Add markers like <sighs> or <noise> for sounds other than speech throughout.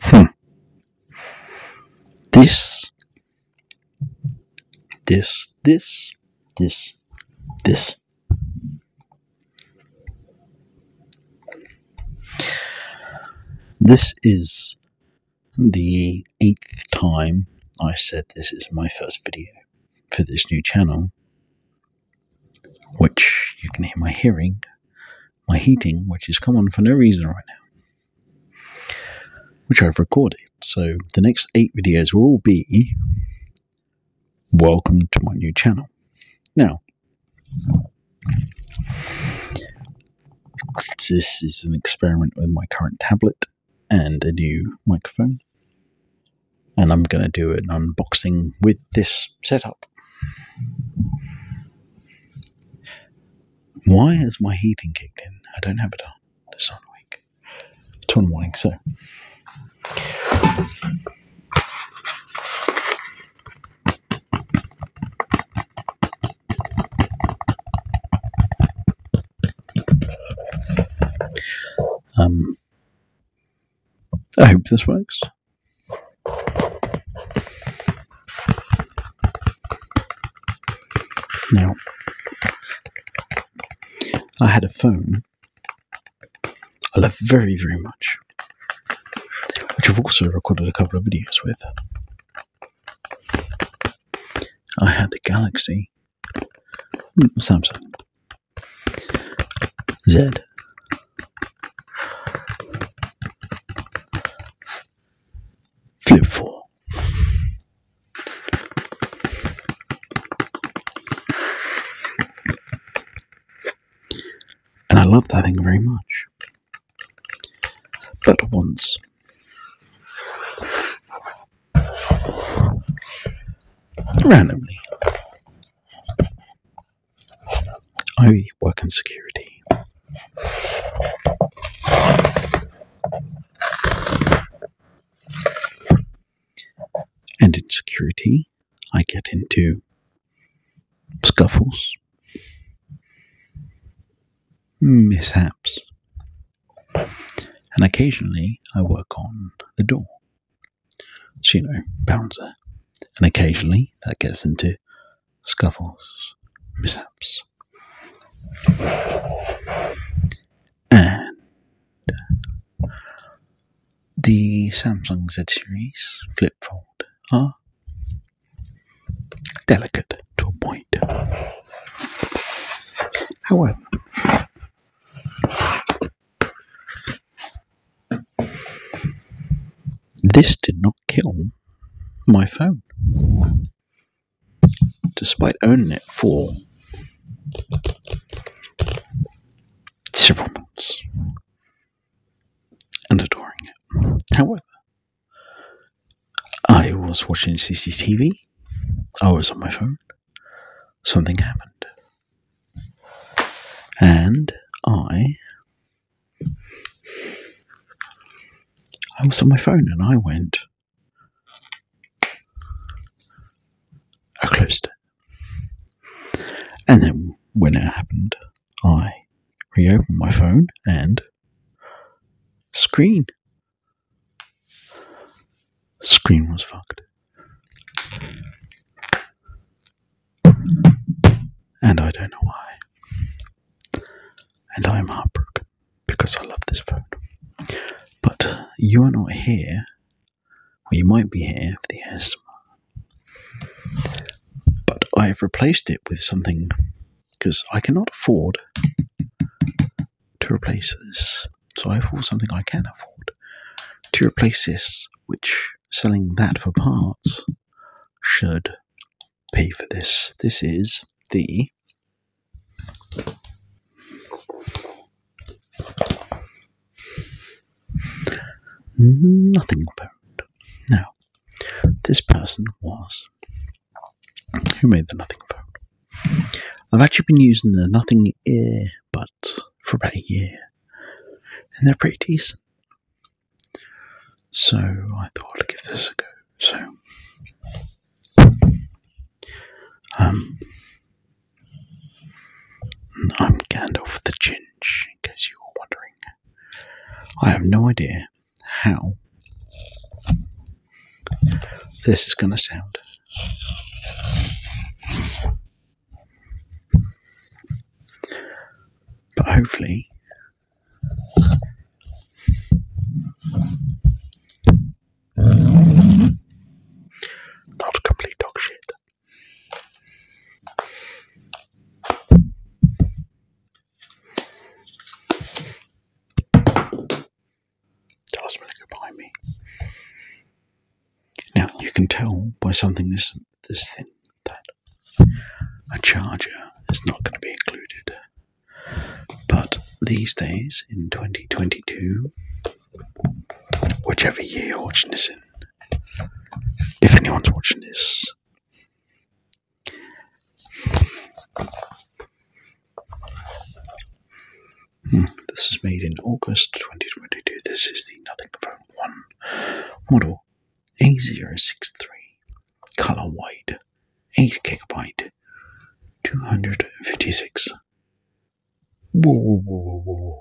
Hmm. This, this, this, this, this. This is the eighth time I said this is my first video for this new channel, which you can hear my hearing, my heating, which is come on for no reason right now, which I've recorded. So the next eight videos will all be welcome to my new channel. Now, this is an experiment with my current tablet and a new microphone. And I'm going to do an unboxing with this setup. Why has my heating kicked in? I don't have it on. It's on week. It's on morning, so. Um, I hope this works. Now, I had a phone I love very, very much, which I've also recorded a couple of videos with. I had the Galaxy Hmm, Samsung. Z. Flip 4. And I love that thing very much. But once randomly. I work in security. And in security, I get into scuffles, mishaps, and occasionally I work on the door. So, you know, bouncer. And occasionally that gets into scuffles, mishaps. And the Samsung Z series flip fold are delicate to a point. However, this did not kill my phone, despite owning it for several months and adoring it. However, I was watching CCTV, I was on my phone, something happened. And I I was on my phone and I went I closed it. And then when it happened, I reopened my phone and screen Screen was fucked. And I don't know why. And I'm heartbroken because I love this phone. But you are not here, or you might be here for the ASMR. But I have replaced it with something because I cannot afford to replace this. So I afford something I can afford to replace this, which selling that for parts should pay for this. This is the nothing parent. Now, this person was who made the nothing phone. I've actually been using the nothing ear but for about a year. And they're pretty decent. So I thought I'd give this a go. So, um, I'm Gandalf the Chinch, in case you were wondering. I have no idea how this is going to sound. But hopefully, not complete dog shit to ask them to me. Now you can tell by something this this thing that a charger is not going to be included. But these days in 2022, whichever year you're watching this in, if anyone's watching this, Hmm. This was made in August 2022. This is the Nothing Phone 1 model A063 color white, 8 gigabyte, 256. The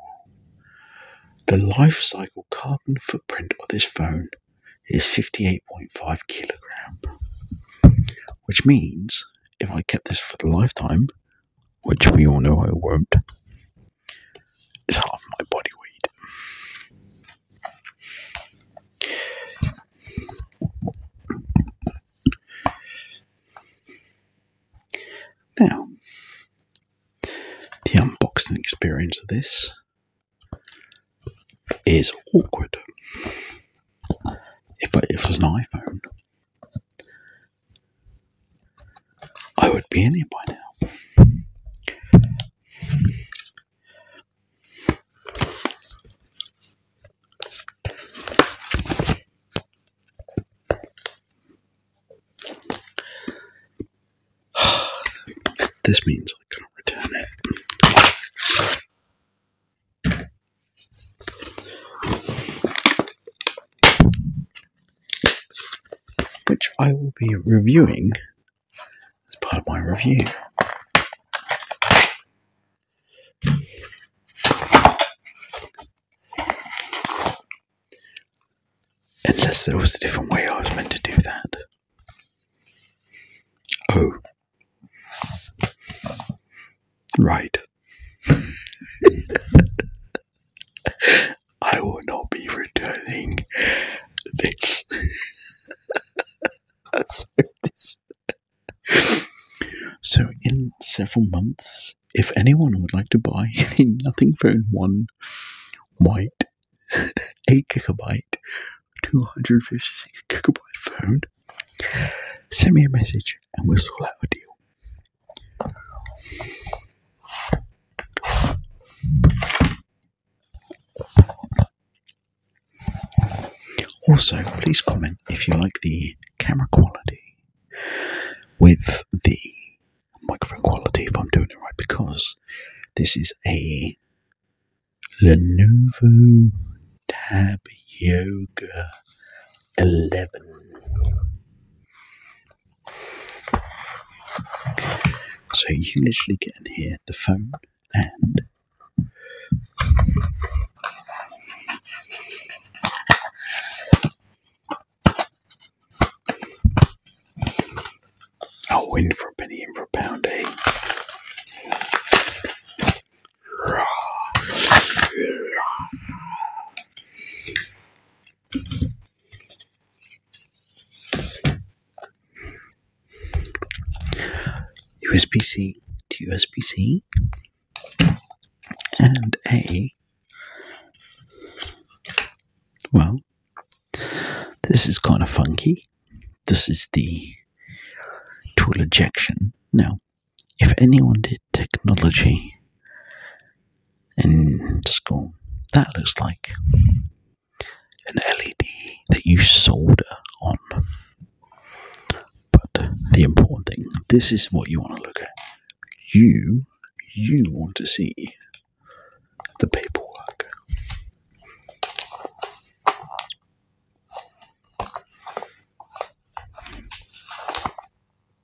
life cycle carbon footprint of this phone is 58.5 kilogram, which means if I kept this for the lifetime, which we all know I won't. It's half my body weight. Now, the unboxing experience of this is awkward. If, if it was an iPhone, I would be in it by now. <sighs> this means I can't return it which I will be reviewing as part of my review. Unless there was a different way I was meant to do that. Oh. Right. <laughs> I will not be returning <laughs> this. so, in several months, if anyone would like to buy the <laughs> Nothing Phone 1 white 8 gigabyte 256 gigabyte phone, send me a message and we'll sort out a deal. Also, please comment if you like the camera quality with the microphone quality, if I'm doing it right, because this is a Lenovo Tab Yoga 11. So you literally get in here the phone and Oh, in for a penny, and for a pound, eight. USB-C to USB-C and a well this is kind of funky this is the tool ejection now if anyone did technology in school. That looks like an LED that you solder on. But the important thing, this is what you want to look at. You, you want to see the paperwork.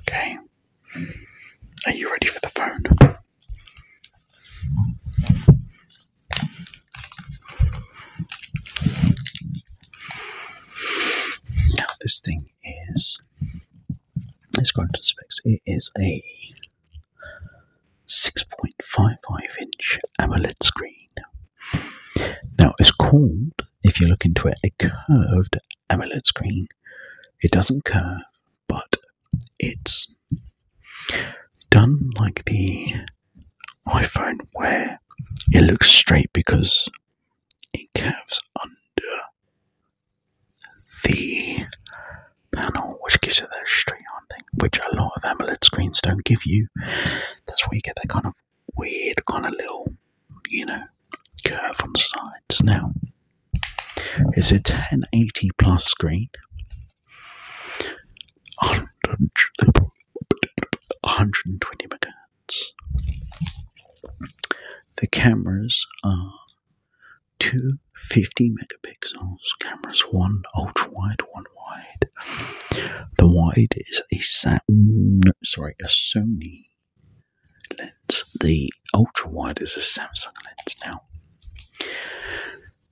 Okay. Are you ready for the phone? Now this thing is let's to into specs. It is a 6.55 inch AMOLED screen. Now, it's called, if you look into it, a curved AMOLED screen. It doesn't curve, but it's done like the iPhone where it looks straight because it curves under the panel, which gives you that straight on thing, which a lot of AMOLED screens don't give you. That's where you get that kind of weird, kind of little, you know, curve on the sides. Now, it's a 1080 plus screen. 120 megahertz. The cameras are two 50 megapixels cameras, one ultra wide, one wide. The wide is a Sam, sorry, a Sony lens. The ultra wide is a Samsung lens. Now,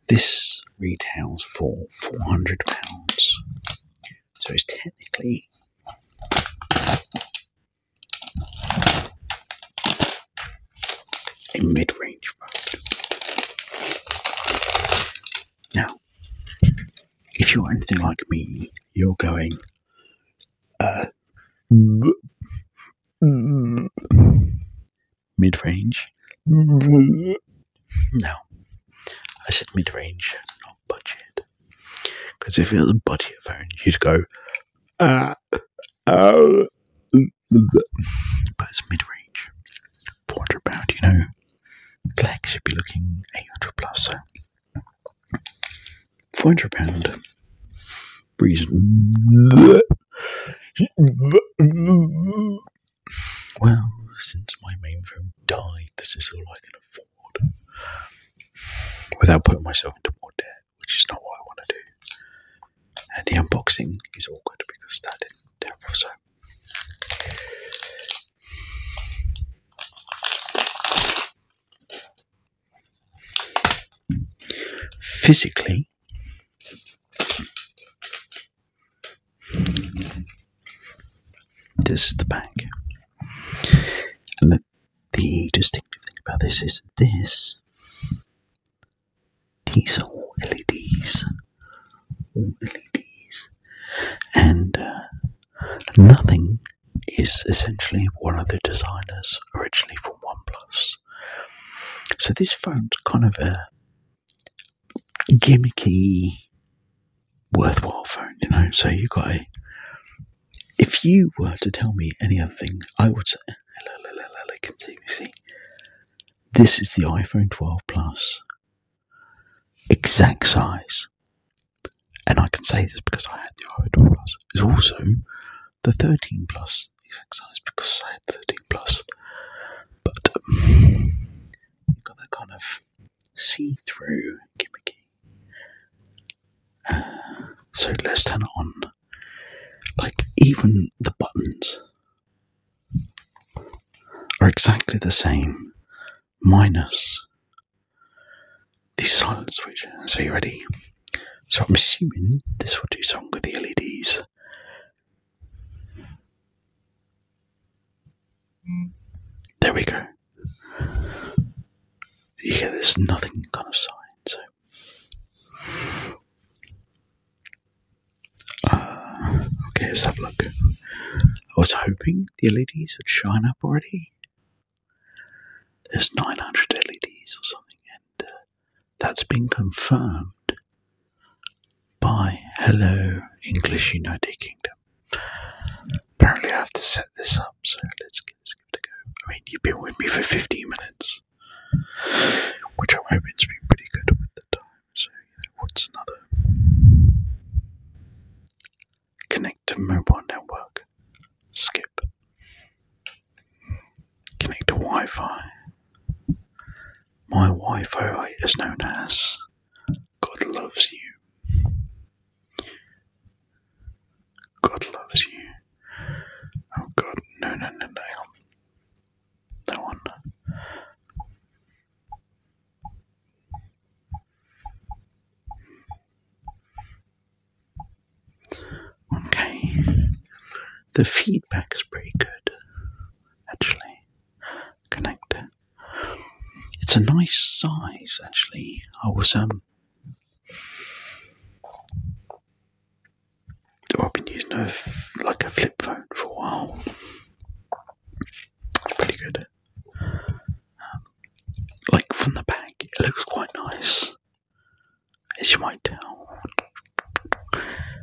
this retails for 400 pounds, so it's technically a mid-range product. Now, if you're anything like me, you're going, uh, mid-range. No, I said mid-range, not budget. Because if it was a budget phone, you'd go, Uh, uh, but it's mid range. 400 pound, you know. Black should be looking 800 plus, so. 400 pound. Reason. Well, since my main phone died, this is all I can afford. Without putting myself into more debt which is not what I want to do. And the unboxing is awkward because that didn't happen. So physically, this is the bag. And the distinctive thing about this is this these are all LEDs, all LEDs, and uh, nothing is essentially one of the designers originally from OnePlus. So this phone's kind of a gimmicky, worthwhile phone, you know. So you got a. If you were to tell me any other thing, I would say Hello, hello, hello, hello. Can see, see? This is the iPhone 12 Plus. Exact size. And I can say this because I had the iPhone 12 Plus. It's also the 13 Plus exact size because I had the 13 Plus. But um, got that kind of see through gimmicky. Uh, so let's turn on. Like, even the buttons are exactly the same, minus the silent switch. So, you ready? So, I'm assuming this will do something with the LEDs. There we go. You there's nothing kind of sign. Uh, okay, let's have a look. I was hoping the LEDs would shine up already. There's 900 LEDs or something, and uh, that's been confirmed by Hello English United Kingdom. Apparently, I have to set this up, so let's, get this going. I mean, you've been with me for 15 minutes which I'm hoping's been pretty good with the time. So, what's another? Connect to mobile network. Skip. Connect to Wi Fi. My Wi Fi is known as God Loves You. God loves you. Oh God, no, no, no, no. That one. Okay, the feedback is pretty good actually. Connector. It's a nice size actually. I was um I've been using a, like a flip phone for a while. It's pretty good. Um, like from the back, it looks quite nice, as you might tell.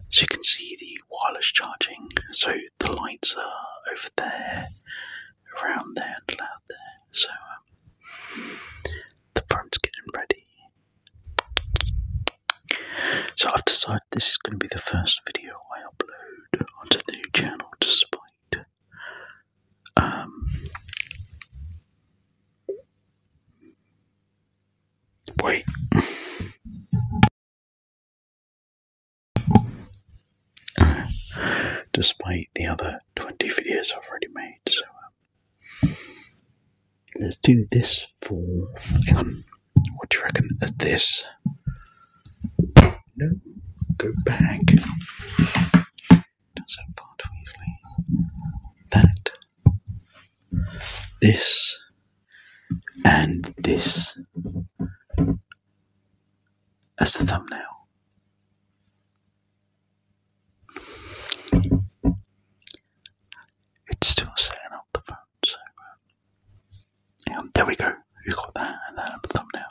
So you can see the wireless charging. So the lights are over there, around there, and loud there. So um, the phone's getting ready so I've decided this is going to be the first video I upload onto the new channel, despite um, wait. <laughs> despite the other 20 videos I've already made, Let's do this for. What do you reckon of this? No. Go back. That's how part too easily. That. This. And this. As the thumbnail it's still setting up the phone, so uh, there we go. You got that and that the thumbnail,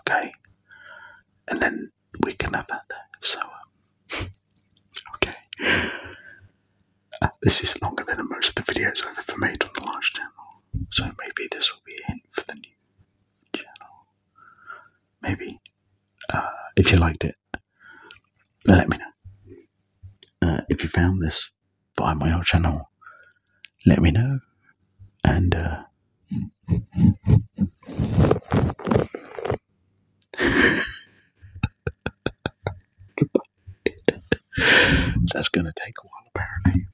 okay? And then we can have that there. So, um, <laughs> okay. this is longer than most of the videos I've ever made on the large channel, so maybe this will be a hint for the new channel. Maybe. Uh, if you liked it, let me know. Uh, if you found this via my old channel, let me know. And uh, <laughs> <laughs> that's going to take a while, apparently.